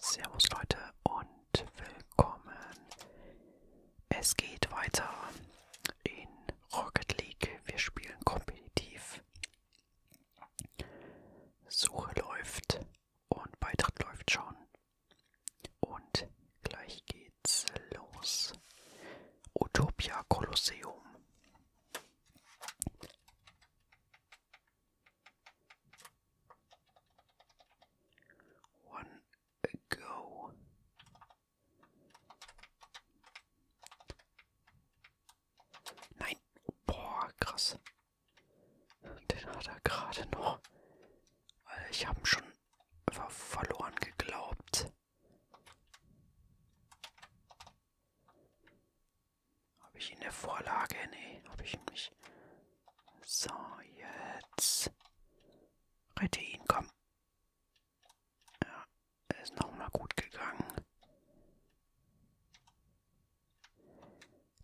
Servus Leute und willkommen. Es geht weiter in Rocket League. Wir spielen kompetitiv. Suche läuft und Beitritt läuft schon. Und gleich geht's los. Utopia Kolosseum one ago. Nein, boah, krass. Den hat er gerade noch. Ich habe schon verloren geglaubt. Habe ich in der Vorlage? Nee, habe ich nicht. So, jetzt. Rette ihn, komm. Ja, ist nochmal gut gegangen.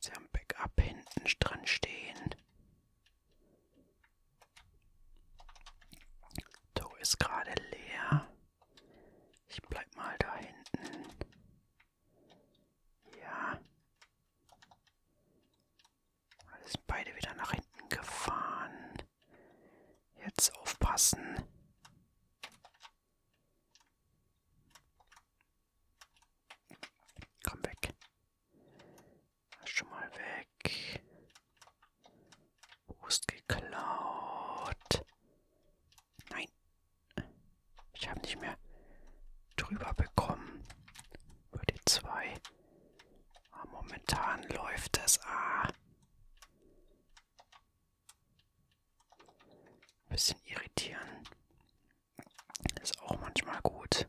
Sie haben Backup hinten dran stehen. Do ist gerade leer. Ich bleib mal da hinten. Ja. Alles beide wieder nach hinten gefahren. Jetzt aufpassen. Komm weg. Schon mal weg. Boost geklaut. Nein. Ich habe nicht mehr drüber bekommen. Über die 2. Ah, momentan läuft es. Ah. Bisschen irritieren. Ist auch manchmal gut.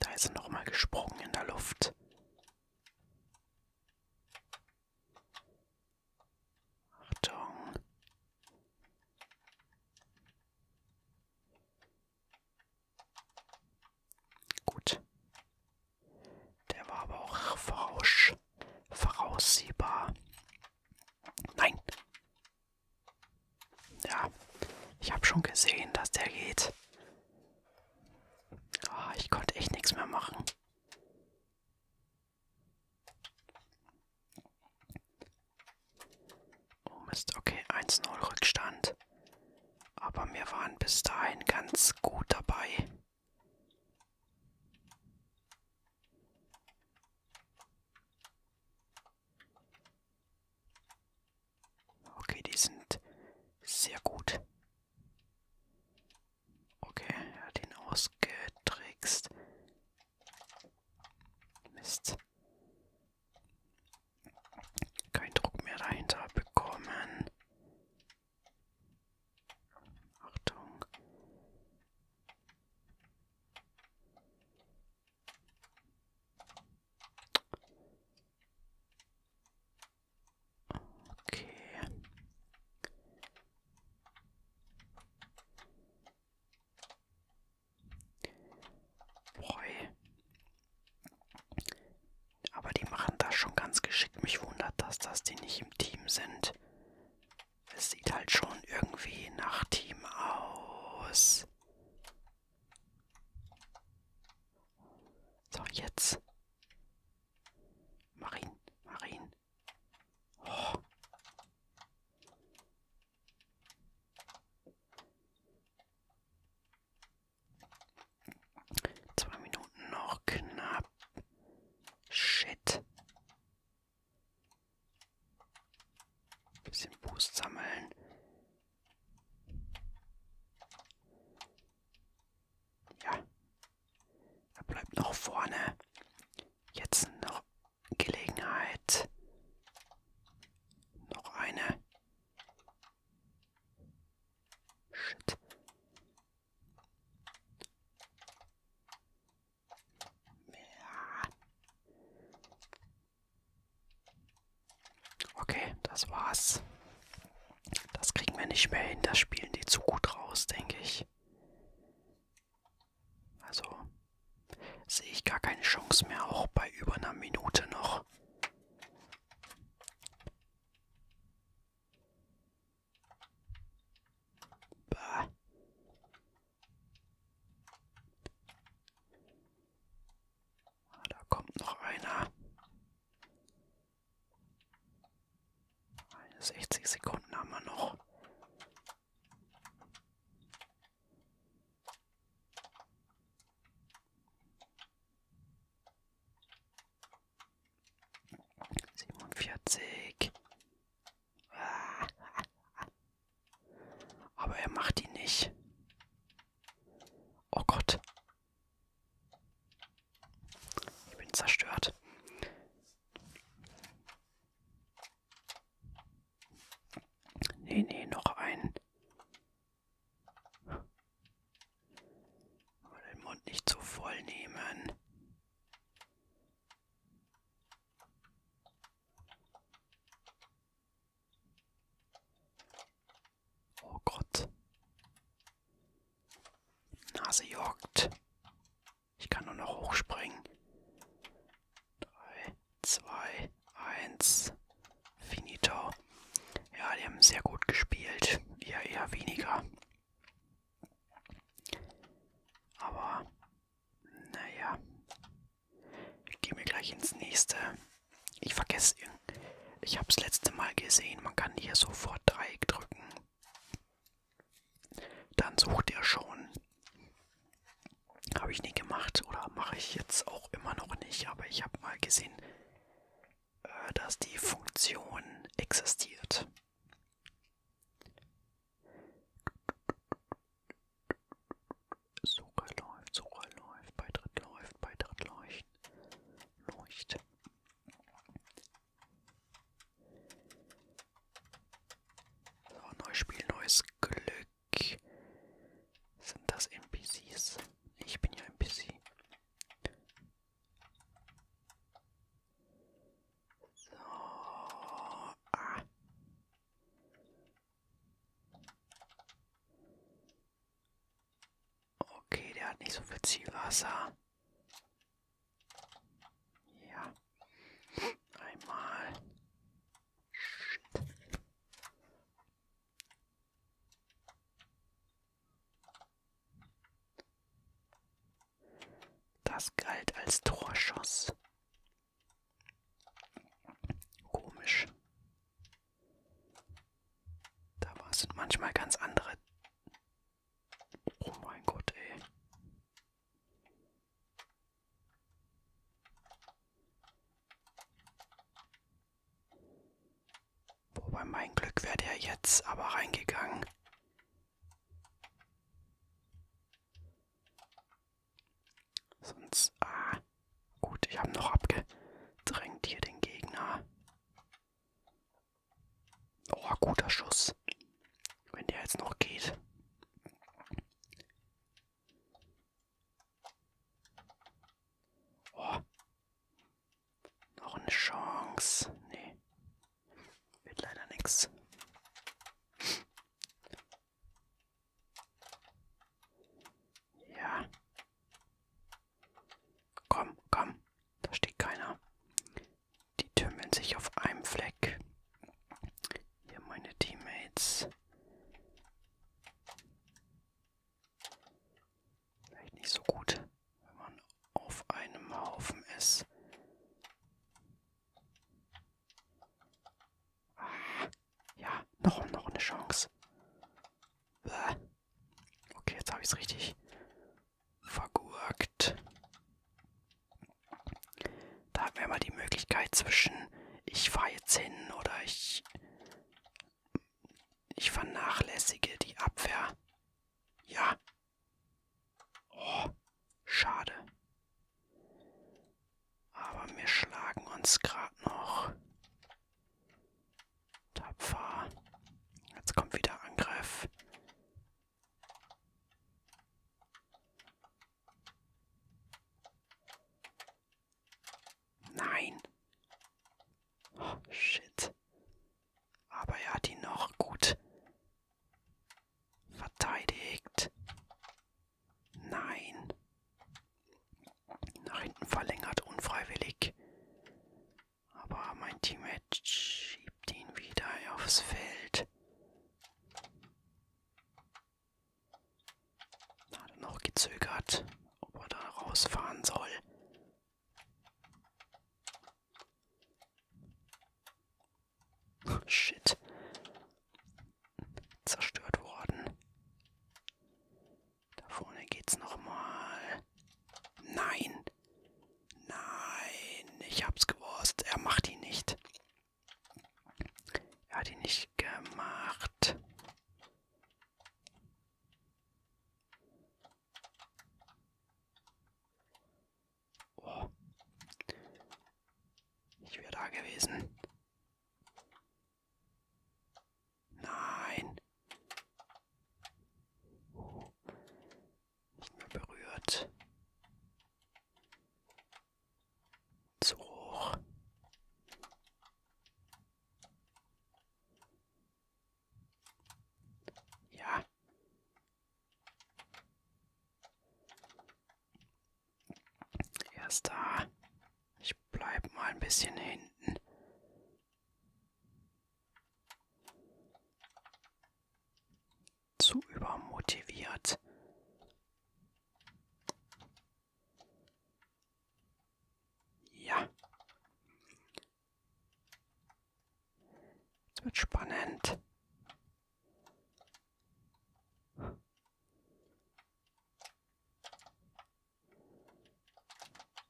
Da ist er nochmal gesprungen in der Luft. Achtung. Gut. Der war aber auch voraus, voraussehbar. Nein. Ja, ich habe schon gesehen, dass der geht. Oh, ich konnte echt nichts mehr machen. Oh Mist, okay, 1-0 Rückstand. Aber wir waren bis dahin ganz gut dabei. Okay, die sind sehr gut. Okay, er hat ihn ausgetrickst. Mist. Kein Druck mehr dahinter bekommen. Achtung. Okay. Boy. Aber die machen das schon ganz geschickt. Mich wundert das, dass die nicht im Team sind. Es sieht halt schon irgendwie nach Team aus. So, jetzt. Marin, Marin. Oh. Zwei Minuten noch knapp. Shit. Bisschen Boost sammeln. Ja, er bleibt noch vorne. Jetzt noch Gelegenheit. Noch eine. Shit. Ja. Okay, das war's. Das kriegen wir nicht mehr hin. Das spielen die zu gut raus, denke ich. Also sehe ich gar keine Chance mehr, auch bei über einer Minute noch. Bah. Ah, da kommt noch einer. 60 Sekunden haben wir noch. Siebenundvierzig. Ah. Aber er macht die nicht. Oh Gott. Ich bin zerstört. Nee, nee, noch einen. Aber den Mund nicht zu so voll nehmen. Oh Gott. Nase juckt. Ich kann nur noch hochspringen. 3, 2, 1. Finito. Ja, die haben sehr gut gespielt. Ja, eher weniger. Aber, naja. Gehen wir gleich ins nächste. Ich vergesse, ich habe das letzte Mal gesehen, man kann hier sofort Dreieck drücken, dann sucht er schon. Habe ich nie gemacht oder mache ich jetzt auch immer noch nicht, aber ich habe mal gesehen, äh, dass die Funktion existiert. Suche läuft, Suche läuft, Beitritt läuft, Beitritt leucht, leucht. So, neues Spiel, neues Glück. Sind das NPCs? Ich bin ja NPC. So. Ah. Okay, der hat nicht so viel Zielwasser. Ja. Einmal. Das galt als Torschuss. Komisch. Da sind manchmal ganz andere Oh mein Gott, ey. Wobei mein Glück wäre der jetzt aber reingegangen. Sonst, ah, gut, ich habe noch abgedrängt hier den Gegner. Oh, guter Schuss. Wenn der jetzt noch geht. Oh. Noch eine Chance. Nee. Wird leider nichts. Ja. Komm, komm. Da steht keiner. Die tümmeln sich auf einem Fleck. Hier meine Teammates. Vielleicht nicht so gut, wenn man auf einem Haufen ist. Ah, ja, noch, noch eine Chance. Okay, jetzt habe ich es richtig vergurkt. Da haben wir mal die Möglichkeit zwischen ich fahre jetzt hin oder ich, ich vernachlässige die Abwehr. Ja. Oh, schade. Aber wir schlagen uns gerade noch. Tapfer. Jetzt kommt wieder Angriff. Nein. Oh, shit. Aber er hat ihn noch gut verteidigt. Nein. Nach hinten verlängert, unfreiwillig. Aber mein Teammate schiebt ihn wieder aufs Feld. Hat er noch gezögert, ob er da rausfahren soll. Oh, shit. Zerstört worden. Da vorne geht's nochmal. Nein. Nein, ich hab's gewusst. Er macht ihn nicht. Er hat ihn nicht gemacht. Oh. Ich wäre da gewesen. Nein nicht mehr berührt. Zu hoch. Ja. Erst da. Ich bleib mal ein bisschen hinten zu übermotiviert. Ja. Es wird spannend.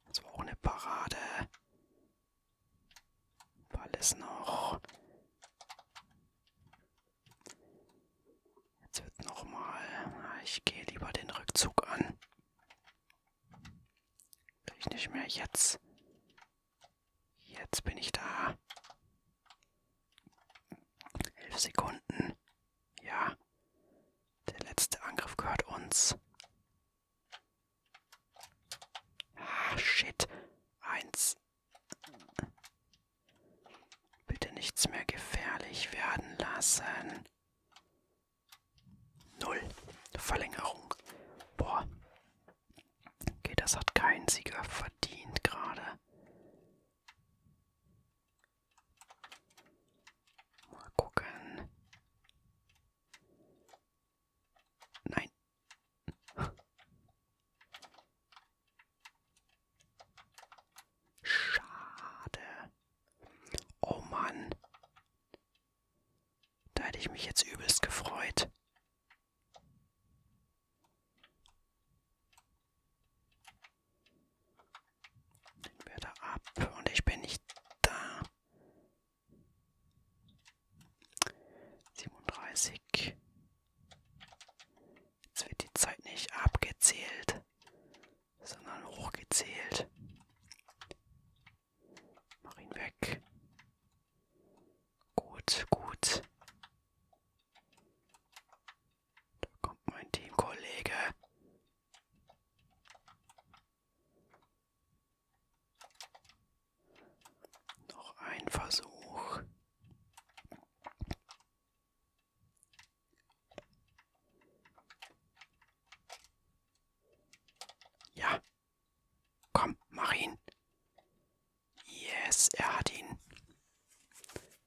Das war auch eine Parade. War alles noch. Jetzt wird nochmal. Ah, ich gehe lieber den Rückzug an. Will ich nicht mehr jetzt. Jetzt bin ich da. Elf Sekunden. Ja. Der letzte Angriff gehört uns. Ah, shit. Eins. Bitte nichts mehr gefährlich werden lassen. Null. Verlängerung. Boah. Okay, das hat kein Sieger verdient gerade. Mal gucken. Nein. Schade. Oh Mann. Da hätte ich mich jetzt übelst gefreut. Den wir da ab und ich bin nicht da. 37. Jetzt wird die Zeit nicht abgezählt, sondern hochgezählt. Mach ihn weg. Gut, gut. Da kommt mein Teamkollege. Noch ein Versuch. Ja. Komm, mach ihn. Yes, er hat ihn.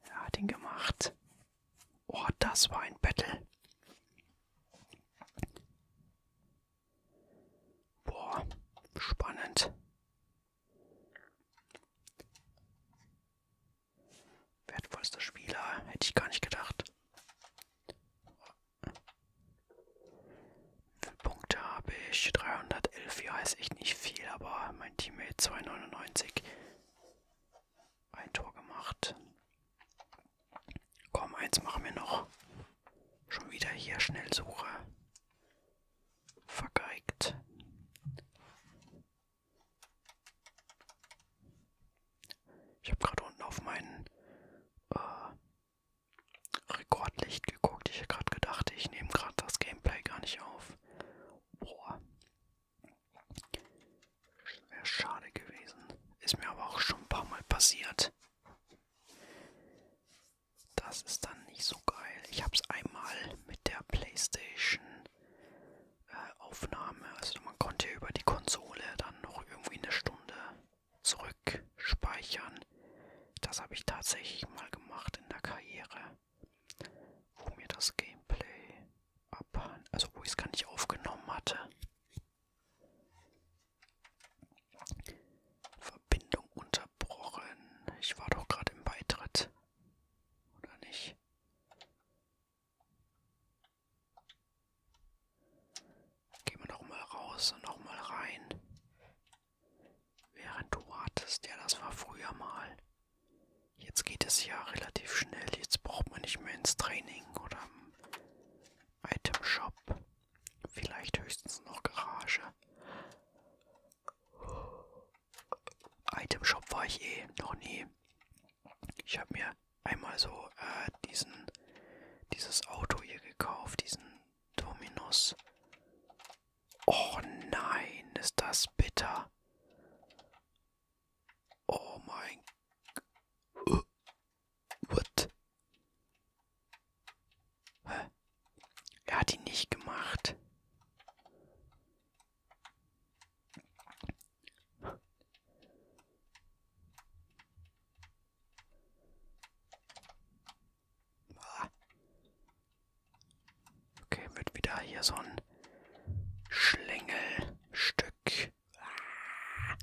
Er hat ihn gemacht. Oh, das war ein Battle. Boah, spannend. Wertvollster Spieler, hätte ich gar nicht gedacht. Wie viele Punkte habe ich? 311, ja, ist echt nicht viel, aber mein Teammate 299. Ein Tor gemacht. Komm, eins machen wir noch. Schon wieder hier Schnellsuche. Vergeigt. Ich habe gerade unten auf meinen äh, Rekordlicht geguckt. Ich habe gerade gedacht, ich nehme gerade das Gameplay gar nicht auf. Boah. Wäre schade gewesen. Ist mir aber auch schon ein paar Mal passiert. Das ist dann nicht so geil. Ich habe es einmal mit der PlayStation-Aufnahme, äh, also man konnte über die Konsole dann noch irgendwie eine Stunde zurück speichern. Das habe ich tatsächlich mal gemacht in der Karriere, wo mir das Gameplay abhanden, also wo ich es gar nicht aufgenommen hatte. Verbindung unterbrochen. Ich war doch gerade im Beitritt. Oder nicht? Gehen wir nochmal raus und nochmal rein. Während du wartest, ja, das war früher mal. Jetzt geht es ja relativ schnell. Jetzt braucht man nicht mehr ins Training oder Item Shop. Vielleicht höchstens noch Garage. Item Shop war ich eh noch nie. Ich habe mir einmal so äh, diesen dieses Auto hier gekauft, diesen Dominus. Oh nein, ist das bitter. Oh mein What? Hä? Er hat ihn nicht gemacht. Okay, wird wieder hier so ein Schlängelstück ah.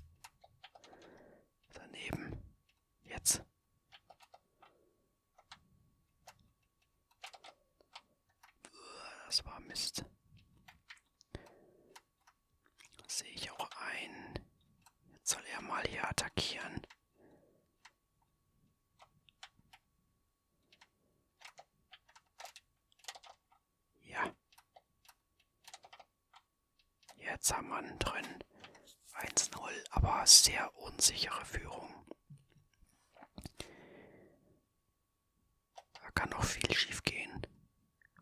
daneben. Jetzt. Das war Mist. Das sehe ich auch ein. Jetzt soll er mal hier attackieren. Ja. Jetzt haben wir einen drin. 1-0, aber sehr unsichere Führung. Da kann noch viel schief gehen.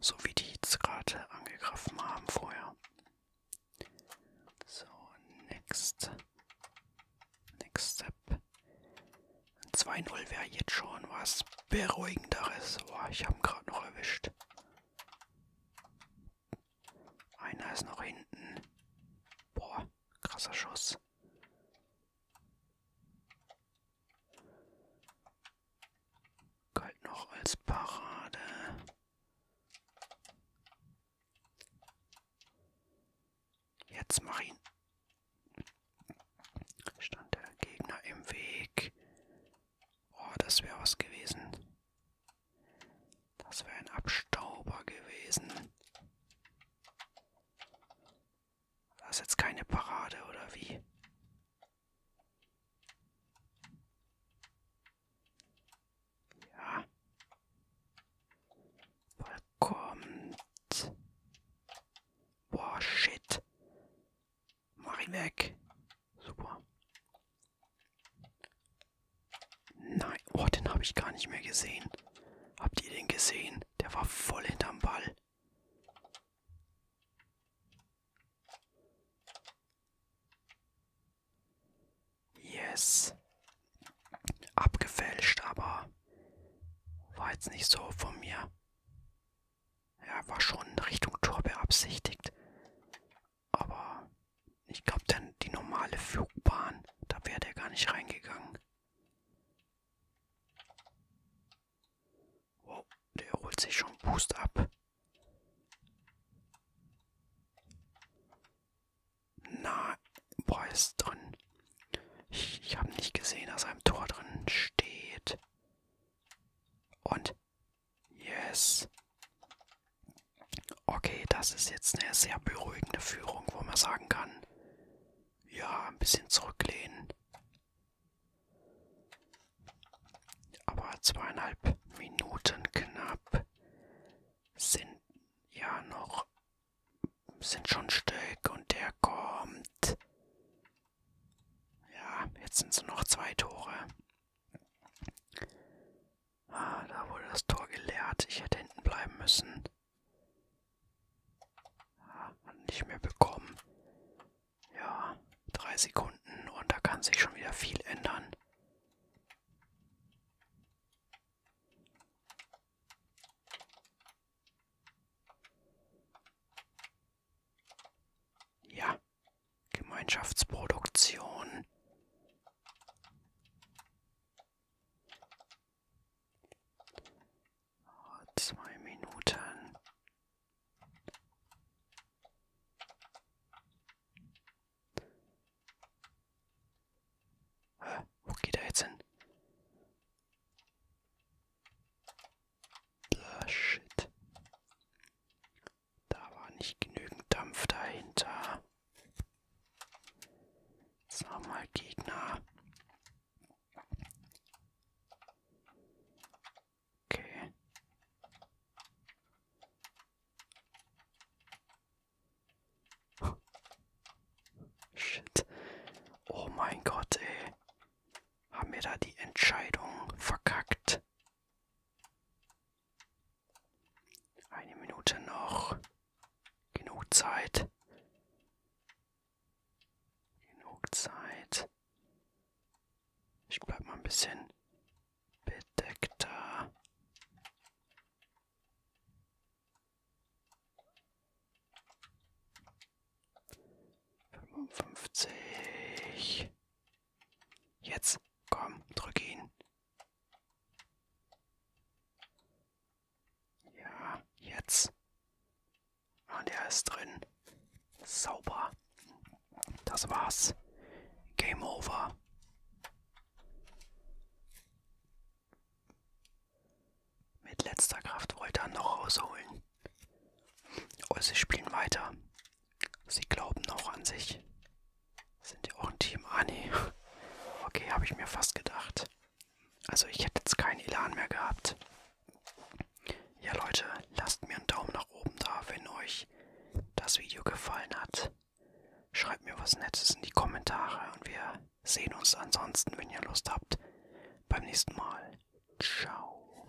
So wie die jetzt gerade angegriffen haben vorher. So, next. Next step. 2-0 wäre jetzt schon was Beruhigenderes. Boah, ich habe ihn gerade noch erwischt. Einer ist noch hinten. Boah, krasser Schuss. Galt noch als Parade. Jetzt mach ihn. Stand der Gegner im Weg. Oh, das wäre was gewesen. Das wäre ein Abstauber gewesen. Das ist jetzt keine Parade, oder wie? Ja. Ball kommt. Boah, shit. Mach ihn weg. Super. Nein, oh, den habe ich gar nicht mehr gesehen. Habt ihr den gesehen? Der war voll hinterm Ball. Yes. Abgefälscht, aber war jetzt nicht so von mir. Ja, war schon Richtung Tor beabsichtigt. Aber ich glaube, denn die normale Flugbahn, da wäre der gar nicht reingegangen. Wow, der holt sich schon Boost ab. Na, boah, ist drin. Ich, ich habe nicht gesehen, dass ein Tor drin steht. Und Yes. Okay, das ist jetzt eine sehr beruhigende Führung, wo man sagen kann, ja, ein bisschen zurücklehnen. Aber zweieinhalb Minuten knapp sind ja noch, sind schon Stück und der kommt. Ja, jetzt sind es noch zwei Tore. Ah, da wurde das Tor geleert. Ich hätte hinten bleiben müssen. Ah, hat nicht mehr bekommen. Ja, drei Sekunden und da kann sich schon wieder viel ändern. Ja, Gemeinschaftsproduktion. Ah, zwei Minuten. Hä? Wo geht er jetzt hin? Blah, shit. Da war nicht genügend Dampf dahinter. Jetzt nochmal Gegner. Okay. Oh. Shit. Oh mein Gott, ey. Haben wir da die Entscheidung verkackt? Eine Minute noch. Genug Zeit. Genug Zeit. Ich bleib mal ein bisschen bedeckter. Fünfundfünfzig. Jetzt, komm, drück ihn. Ja, jetzt. Und er ist drin. Sauber. Das war's. Game over. Mit letzter Kraft wollte er noch rausholen. Also spielen weiter. Sie glauben auch an sich. Sind ja auch ein Team. Ah, nee. Okay, habe ich mir fast gedacht. Also ich hätte jetzt keinen Elan mehr gehabt. Ja Leute, lasst mir einen Daumen nach oben da, wenn euch das Video gefallen hat. Schreibt mir was Nettes in die Kommentare und wir sehen uns ansonsten, wenn ihr Lust habt, beim nächsten Mal. Ciao.